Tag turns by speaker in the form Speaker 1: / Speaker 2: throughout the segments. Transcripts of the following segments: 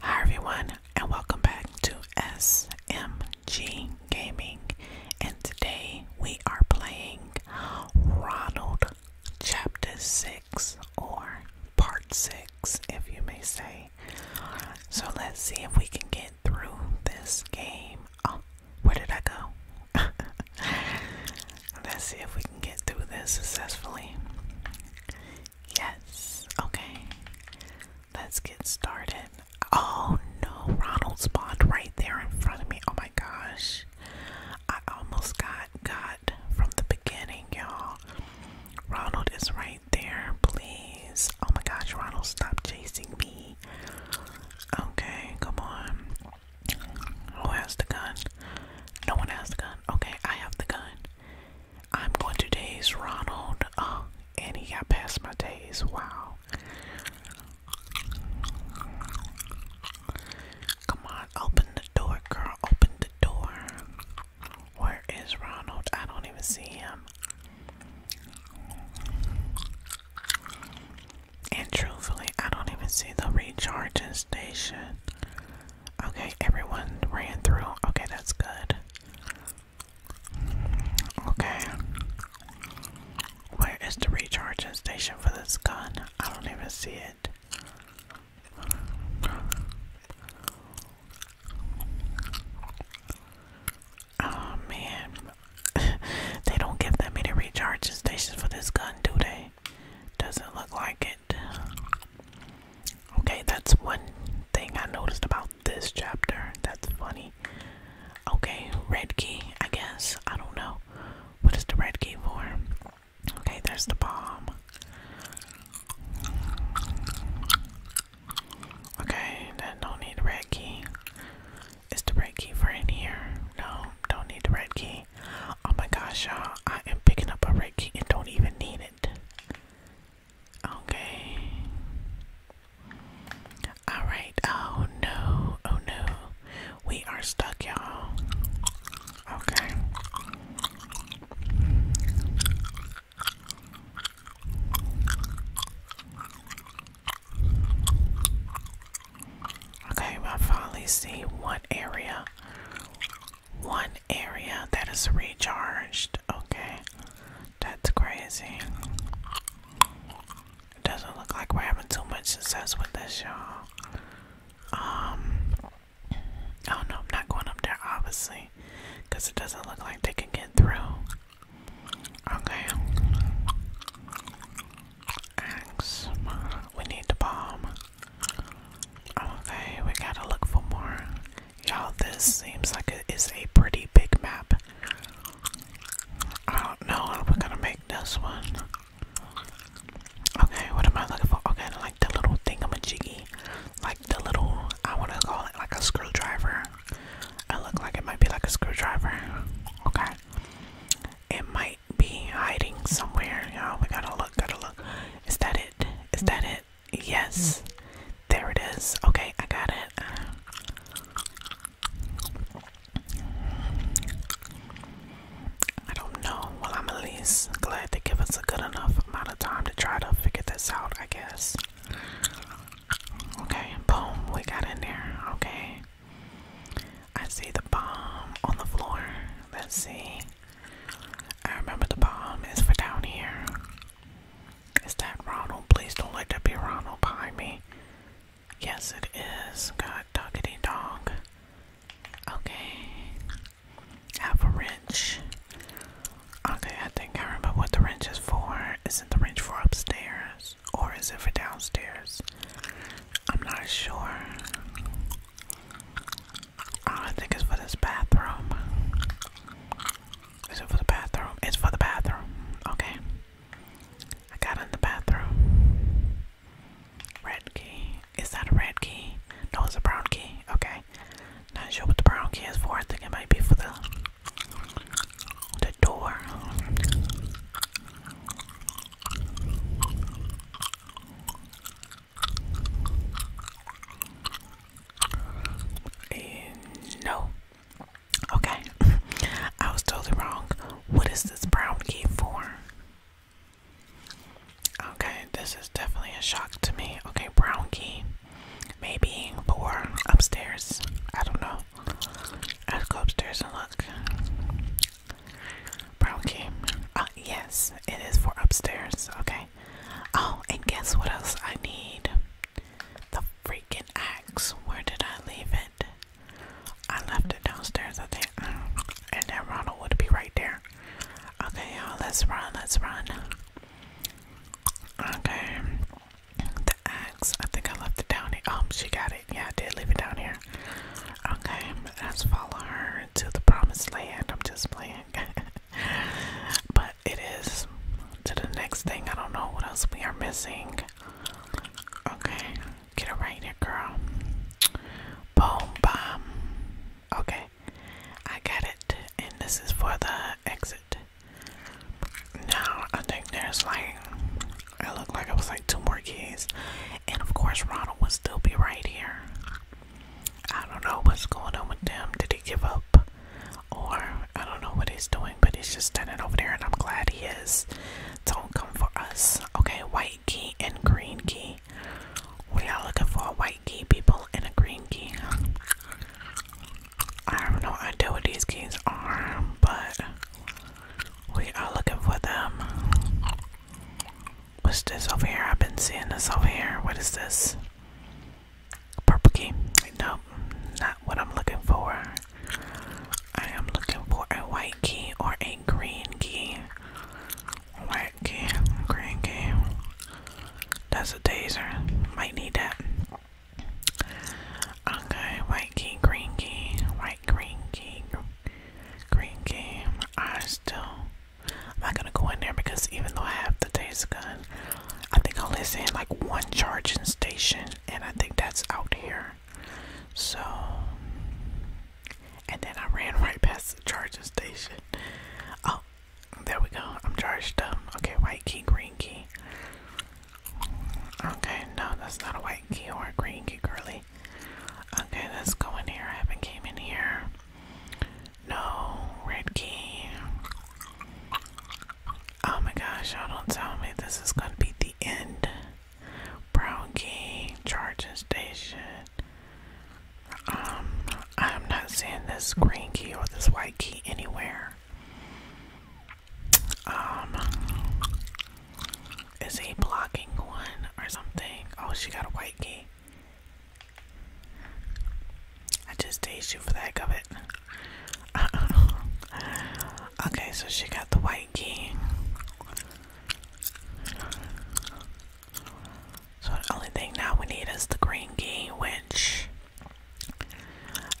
Speaker 1: Hi everyone and welcome back to SMG Gaming and today we are playing Ronald Chapter 6 or Part 6 if you may say. So let's see if we can get through this game. Um, where did I go? Let's see if we can get through this successfully. Yes. Okay. Let's get started. Oh no, Ronald's spot right there in front of me. Oh my gosh. I almost got got from the beginning, y'all. Ronald is right there, please. Oh my gosh, Ronald, stop chasing me. Okay, come on. Who has the gun? No one has the gun. Okay, I have the gun. I'm going to daze Ronald. Oh, and he got past my days. Wow. Come on, open the door, girl. Open the door. Where is Ronald? I don't even see him. And truthfully, I don't even see the recharging station. Okay, everyone ran through. Okay, that's good. Okay. Where is the recharging station for this gun? I don't even see it. Oh man, they don't give that many recharging stations for this gun, do they? Doesn't look like it. Okay, that's one thing I noticed about this chapter. That's funny. Okay, red key, I guess. I don't know. What is the red key for? Okay, there's the bomb. Okay, then don't need red key. Is the right key for in here? No, don't need the right key. Oh my gosh, y'all. I am picking up a right key and don't even need it. Okay. Alright. Oh no. Oh no. We are stuck, y'all. Okay. Okay, I finally see one area. One area that is recharged. Okay, that's crazy. It doesn't look like we're having too much success with this, y'all. Um, oh no, I'm not going up there, obviously, because it doesn't look like they can get through. Okay. Axe. We need the bomb. Okay, we gotta look for more. Y'all, this seems like it is a pretty big map. I don't know how we're gonna make this one. Okay, what am I looking for? Okay, like the little thingamajiggy. Like the little, I wanna call it like a screwdriver. It look like it might be like a screwdriver. Okay. It might be hiding somewhere. Oh, we gotta look, gotta look. Is that it? Is that it? Yes. There it is. Okay, I got it. I don't know. Well, I'm at least glad they give us a good enough amount of time to try to figure this out, I guess. Okay, boom, we got in there. Okay. I see the bomb on the floor. Let's see. I remember the bomb is for down here. Is that Ronald? Please don't let that be Ronald behind me. Yes, it is. God doggity dog. Okay. Have a wrench. Okay, I think I remember what the wrench is for. Isn't the wrench for upstairs? or is it for downstairs? I'm not sure. I think it's for this bathroom. Is it for the bathroom? It's for the bathroom. Okay. I got in the bathroom. Red key. Is that a red key? No, it's a brown key. Okay. Not sure what the brown key is for. I think it might be for the the door. Eh, no. Okay. I was totally wrong. What is this brown key for? Okay, this is definitely a shock to me. Okay, brown key. Maybe for upstairs. I don't know. I'll go upstairs and look. Brown uh, yes, it is for upstairs. Okay. Oh, and guess what else I need? The freaking axe. Where did I leave it? I left it downstairs, I think. Mm, and then Ronald would be right there. Okay, y'all, let's run, let's run. Okay. The axe, I think I left it down here. Um, she got it. Yeah, I did leave it down here. Okay, let's follow her to the promised land. I'm just playing. but it is to the next thing. I don't know what else we are missing. Okay, get it right here, girl. Boom, bomb. Okay, I got it. And this is for the exit. Now I think there's like it looked like it was like two more keys, and of course Ronald would still be right here. I don't know what's going on with them. Did he give up? Or I don't know what he's doing, but he's just standing over there, and I'm glad he is. Don't come for us. Okay, white key and green key. We are looking for a white key, people, and a green key. I have no idea what these keys are, but we are looking for them. What's this over here? I've been seeing this over here. What is this? Purple key. No, not what I'm looking for. I am looking for a white key or a green key. White key, green key. That's a dazer. Might need that. Okay, white key, green key, white green key, green key. I still, I'm not gonna go in there because even though I have the days gun, I think I'll listen like one charging station, and I think that's out here. So, and then I ran right past the charging station. Oh, there we go. I'm charged up. Okay, white key, green key. Okay, no, that's not a white key or a green key, girly. Okay, let's go in here. I haven't came in here. No, red key. Oh my gosh, y'all don't tell me this is gonna be the end. Brown key, charging station. Um, I'm not seeing this green key or this white key anywhere. Um, is he blocking one or something? Oh, she got a white key. I just tased you for the heck of it. okay, so she got the white key. So the only thing now we need is the green key, which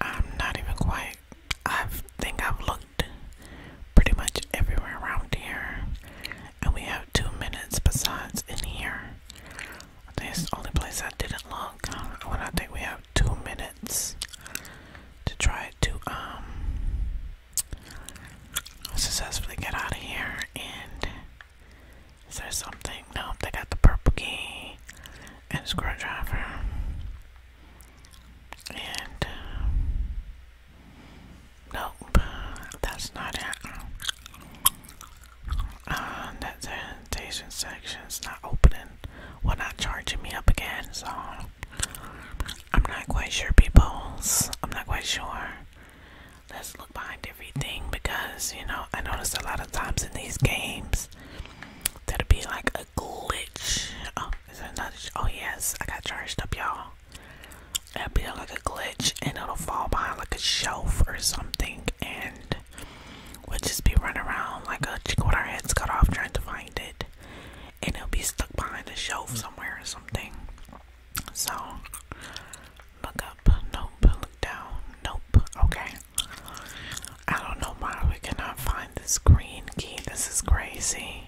Speaker 1: I'm not even quite. I think I've looked pretty much everywhere around here, and we have two minutes besides in here. This think the only place I didn't look. When I think we have two minutes to try to um successfully get out of here. And is there something? No, they got the purple key and screwdriver and uh, nope that's not it uh, that sanitation section's not opening well not charging me up again so I'm not quite sure peoples I'm not quite sure let's look behind everything because you know I noticed a lot of times in these games That'll be like a glitch. Oh, is that another? Oh, yes, I got charged up, y'all. it will be like a glitch, and it'll fall behind like a shelf or something, and we'll just be running around like a chick with our heads cut off trying to find it, and it'll be stuck behind a shelf hmm. somewhere or something. So, look up. Nope. Look down. Nope. Okay. I don't know why we cannot find this green key. This is crazy.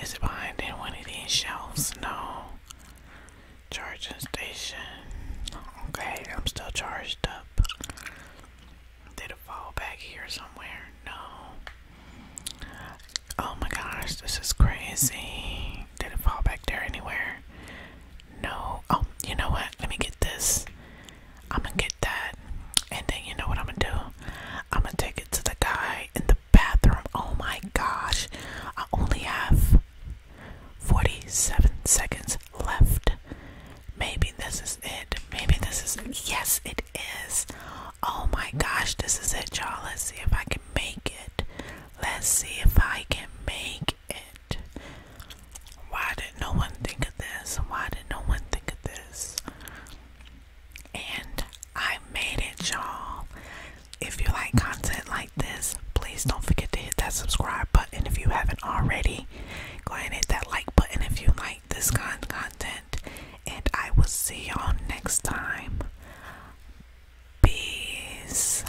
Speaker 1: Is it behind in one of these shelves? No. Charging station. Okay, I'm still charged up. Did it fall back here somewhere? No. Oh my gosh, this is crazy. Did it fall back there anywhere? No. Oh, you know what? Let me get this. I'm gonna get that, and then you know what I'm gonna do? I'm gonna take it to the guy in the bathroom. Oh my gosh, I only have 47 seconds left. Maybe this is it. Maybe this is it. Yes, it is. Oh my gosh, this is it, you Let's see if I can make it. Let's see if I can make it. Why did no one think of this? Why did no one think of this? And I made it, y'all. If you like content like this, please don't forget to hit that subscribe button if you haven't already. Go and hit that like button if you like this kind content. And I will see y'all next time. Peace.